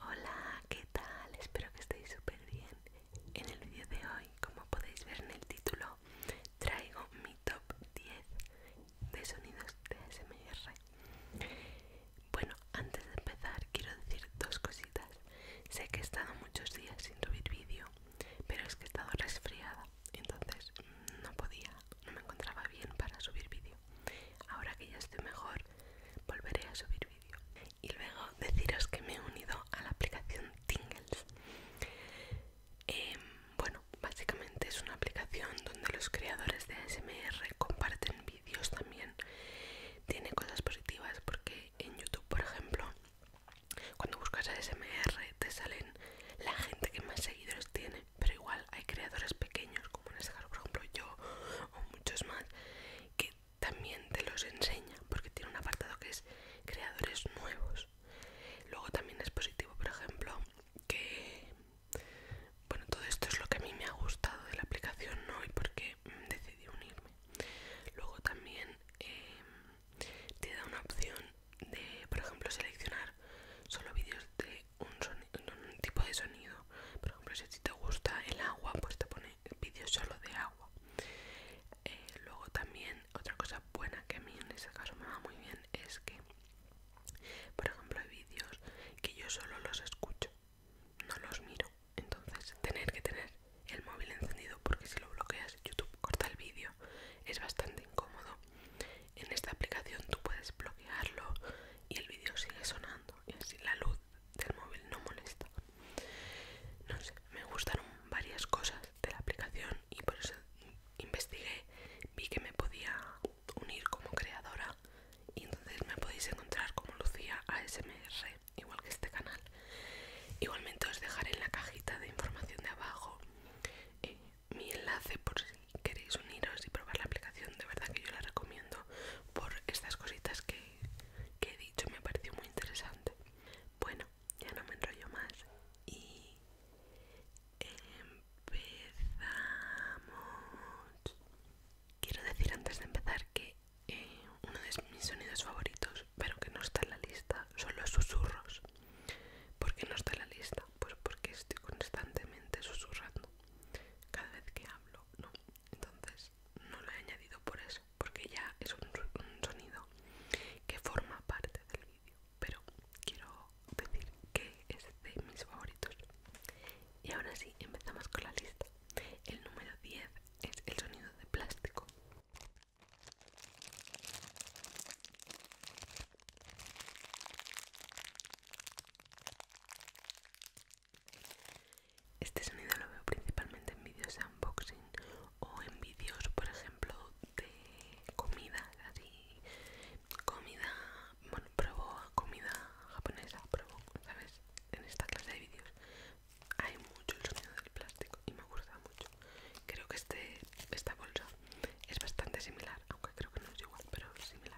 Hola, ¿qué tal? Espero que estéis súper bien. En el vídeo de hoy, como podéis ver en el título, traigo mi top 10 de sonidos de ASMR. Bueno, antes de empezar quiero decir dos cositas. Sé que he estado muchos días sin subir vídeo, pero es que he estado resfriada entonces no podía, no me encontraba bien para subir vídeo. Ahora que ya estoy mejor, volveré a subir vídeo. Y luego deciros que me he unido a la aplicación Tingles. Em, bueno, básicamente es una aplicación donde los creadores de ASMR comparten vídeos también. Tiene cosas positivas porque en YouTube, por ejemplo, cuando buscas ASMR te salen la gente que más seguido tiene, pero igual hay creadores pequeños, como en este caso, por ejemplo, yo o muchos más, que también te los enseña, porque tiene un apartado que es creadores nuevos. Luego también es positivo, por ejemplo, que. Bueno, todo esto es lo que a mí me ha gustado de la aplicación hoy porque mm, decidí unirme. Luego también eh, te da una opción de, por ejemplo, seleccionar solo vídeos de un, tipo de sonido. Por ejemplo, si te gusta el agua, pues te pone vídeos solo de agua. Eh, luego también otra cosa buena que a mí en ese caso me va muy bien es que, por ejemplo, hay vídeos que yo solo los escucho, no los miro. Entonces, tener que tener el móvil encendido porque si lo bloqueas YouTube corta el vídeo es bastante incómodo en esta aplicación tú puedes bloquearlo y el vídeo sigue sonando y así la luz del móvil no molesta. No sé, me gustaron varias cosas de la aplicación y por eso investigué, vi que me podía unir como creadora y entonces me podéis encontrar como Lucía ASMR, igual que este canal. Igualmente os dejaré en la cajita de información de abajo eh, mi enlace por si queréis uniros y probar la aplicación. De verdad que yo la recomiendo por estas cositas que, he dicho, me pareció muy interesante. Bueno, ya no me enrollo más y empezamos. Quiero decir antes de empezar que eh, uno de mis sonidos favoritos, pero que no está en la lista, son los susurros. ¿Por qué no está en la lista? Pues porque estoy constantemente susurrando cada vez que hablo, ¿no? Entonces no lo he añadido por eso, porque ya es un, un sonido que forma parte del vídeo, pero quiero decir que es de mis favoritos. Y ahora sí, empezamos con la lista. El número 10 es el sonido de plástico. Este sonido lo veo principalmente en vídeos de unboxing o en vídeos, por ejemplo, de comida, así, comida, bueno, probó comida japonesa, probó, ¿sabes? En esta clase de vídeos hay mucho el sonido del plástico y me gusta mucho. Creo que este, esta bolsa es bastante similar, aunque creo que no es igual, pero es similar.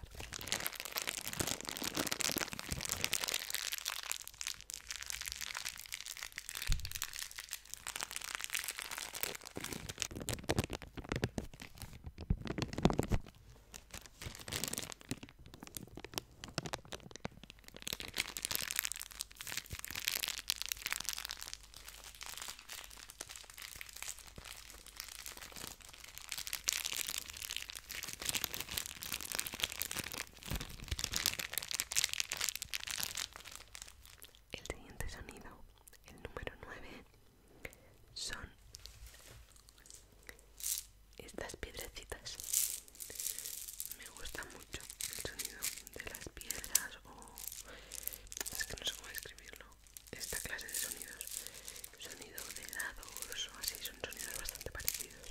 El siguiente sonido, el número 9, son estas piedrecitas. Me gusta mucho el sonido de las piedras o... Es que no sé cómo escribirlo esta clase de sonidos sonido de dados o así son sonidos bastante parecidos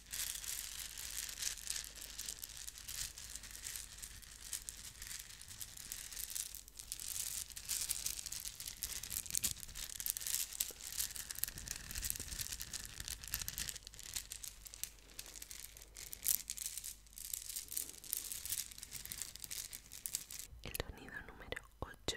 El sonido número 8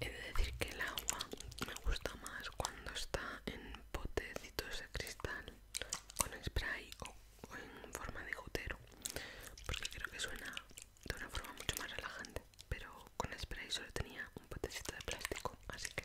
He de decir que el agua me gusta más cuando está en potecitos de cristal con spray o, en forma de gotero porque creo que suena de una forma mucho más relajante pero con spray solo tenía un potecito de plástico así que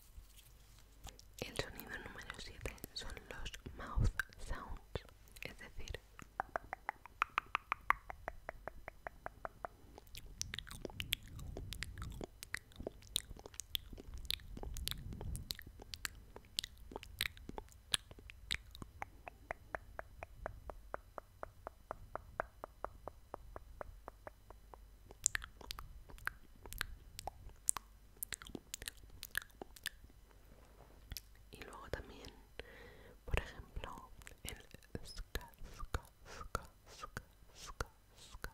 El sonido número 7 son los mouth sounds, es decir, y luego también por ejemplo el ska ska ska ska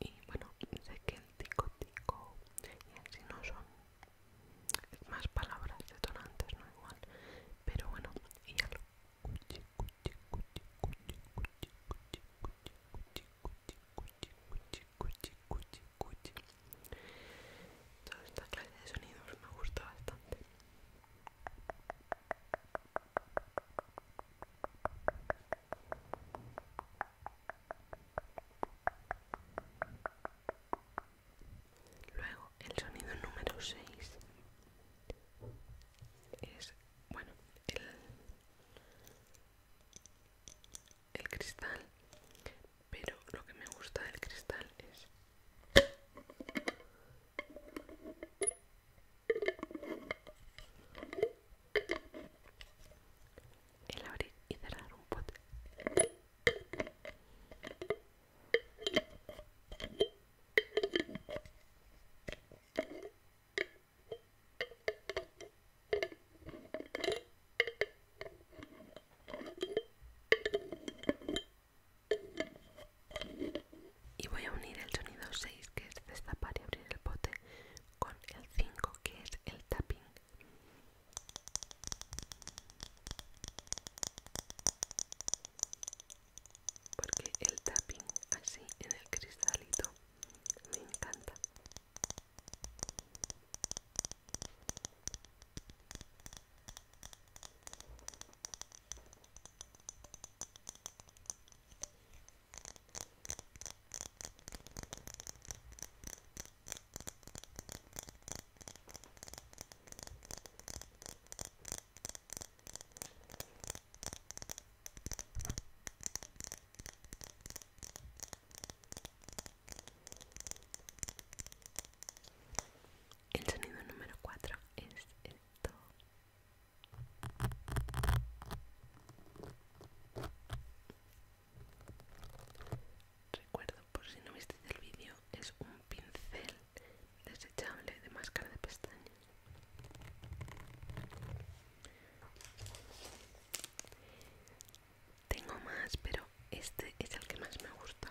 y bueno sé que el tico tico y así no son más palabras detonantes no igual pero bueno y cuchi cuchi cuchi cuchi cuchi cuchi cuchi toda esta clase de sonidos me gusta bastante Luego el sonido número 6 es, bueno, el, cristal, pero lo que me gusta del cristal es el abrir y cerrar un pote. Y voy a unir el sonido 6 que es destapar y abrir el pote con el 5 que es el tapping porque el tapping así en el cristalito me encanta el sonido número cuatro es el esto. Recuerdo, por si no visteis el vídeo, es un pincel desechable de máscara de pestañas. Tengo más, pero este es el que más me gusta.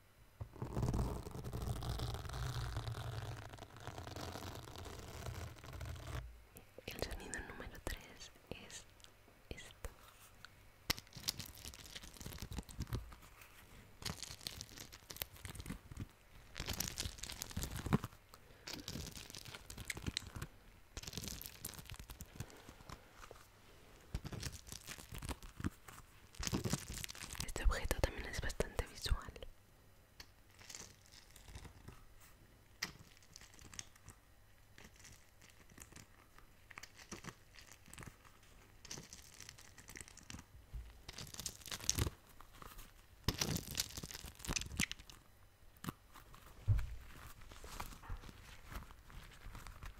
El sonido número 3 es esto. Este objeto también es bastante visual.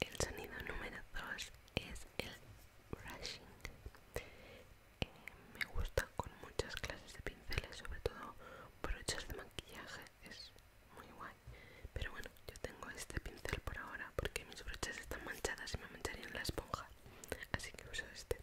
El sonido número 2 es el Rushing eh, me gusta con muchas clases de pinceles, sobre todo brochas de maquillaje, es muy guay. Pero bueno, yo tengo este pincel por ahora porque mis brochas están manchadas y me mancharían la esponja, así que uso este.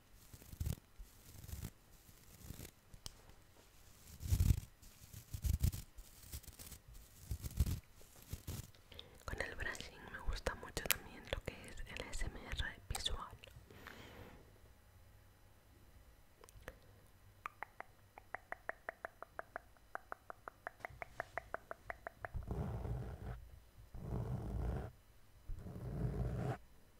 Con el brushing me gusta mucho también lo que es el SMR visual.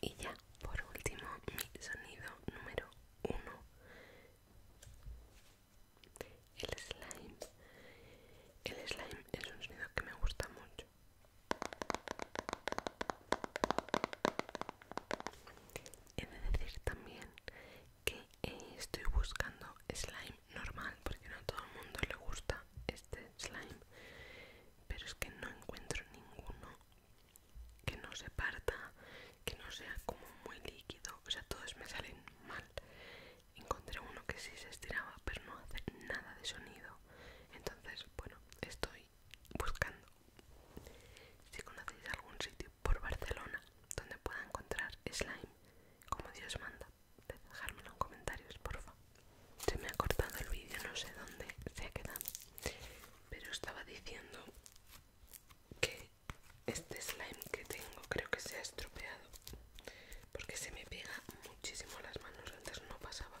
Y ya, por último, mi sonido número uno, el slime. El slime es un sonido que me gusta mucho. He de decir también que eh, estoy buscando slime normal porque no a todo el mundo le gusta este slime pero es que no encuentro ninguno que no se parta que no sea como muy líquido o sea todos me salen mal encontré uno que sí se estiraba pero no hace nada de sonido entonces bueno estoy buscando si conocéis algún sitio por Barcelona donde pueda encontrar slime como Dios manda dejármelo en comentarios, porfa. Se me ha cortado el vídeo, no sé dónde se ha quedado. Pero estaba diciendo que este slime que tengo creo que se ha estropeado. Porque se me pega muchísimo las manos, antes no pasaba.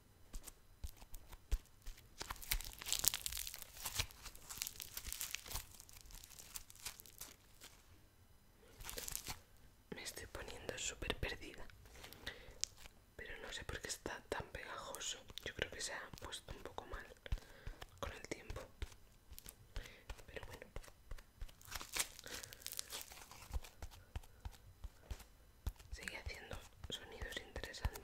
Me estoy poniendo súper perdida. Pero no sé por qué está tan pegajoso. Yo creo que se ha puesto un poco mal con el tiempo. Pero bueno. Sigue haciendo sonidos interesantes.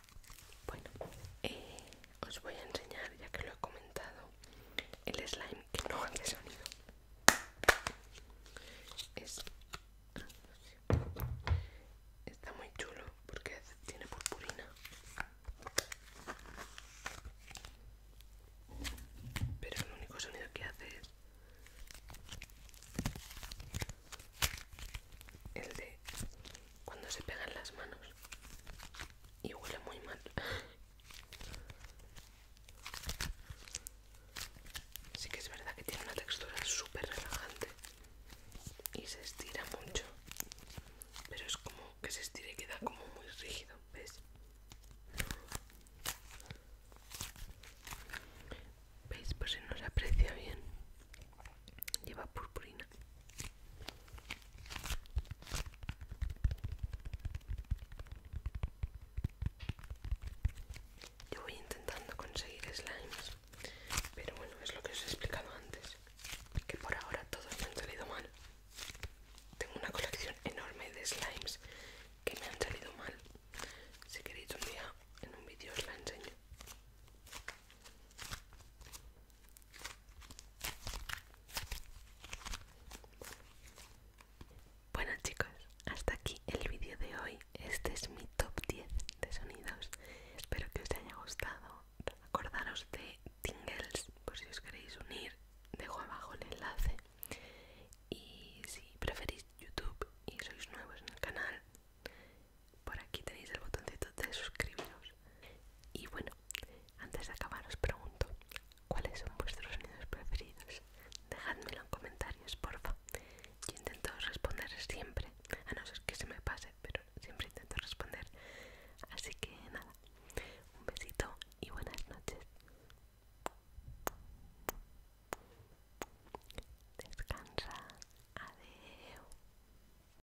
Bueno, eh, os voy a enseñar, ya que lo he comentado, el slime que no hace sonido. Es, está muy chulo porque tiene purpurina. Pero el único sonido que hace es el de cuando se pegan las manos y huele muy mal. Sí que es verdad que tiene una textura súper relajante y se estira mucho, pero es como que se estira y queda como muy rígido, ¿ves? ¿Veis? Por si no se aprecia bien. Lleva purpurina. Yo voy intentando conseguir slimes, pero bueno, es lo que os he explicado antes, que por ahora todos me han salido mal. Tengo una colección enorme de slimes que me han salido mal. Si queréis un día en un vídeo os la enseño. Bueno chicos, hasta aquí el vídeo de hoy. Este es mi top 10 de sonidos. Espero que os haya gustado. Acordaros de Tingles por si os queréis unir. Dejo abajo el enlace. Y si preferís YouTube y sois nuevos en el canal, por aquí tenéis el botoncito de suscribiros. Y bueno, antes de acabar os pregunto, ¿cuáles son vuestros sonidos preferidos? Dejadmelo en comentarios, porfa. Yo intento responder siempre, a no ser que se me pase, pero siempre intento responder. Así que nada, un besito y buenas noches. Descansa, Adiós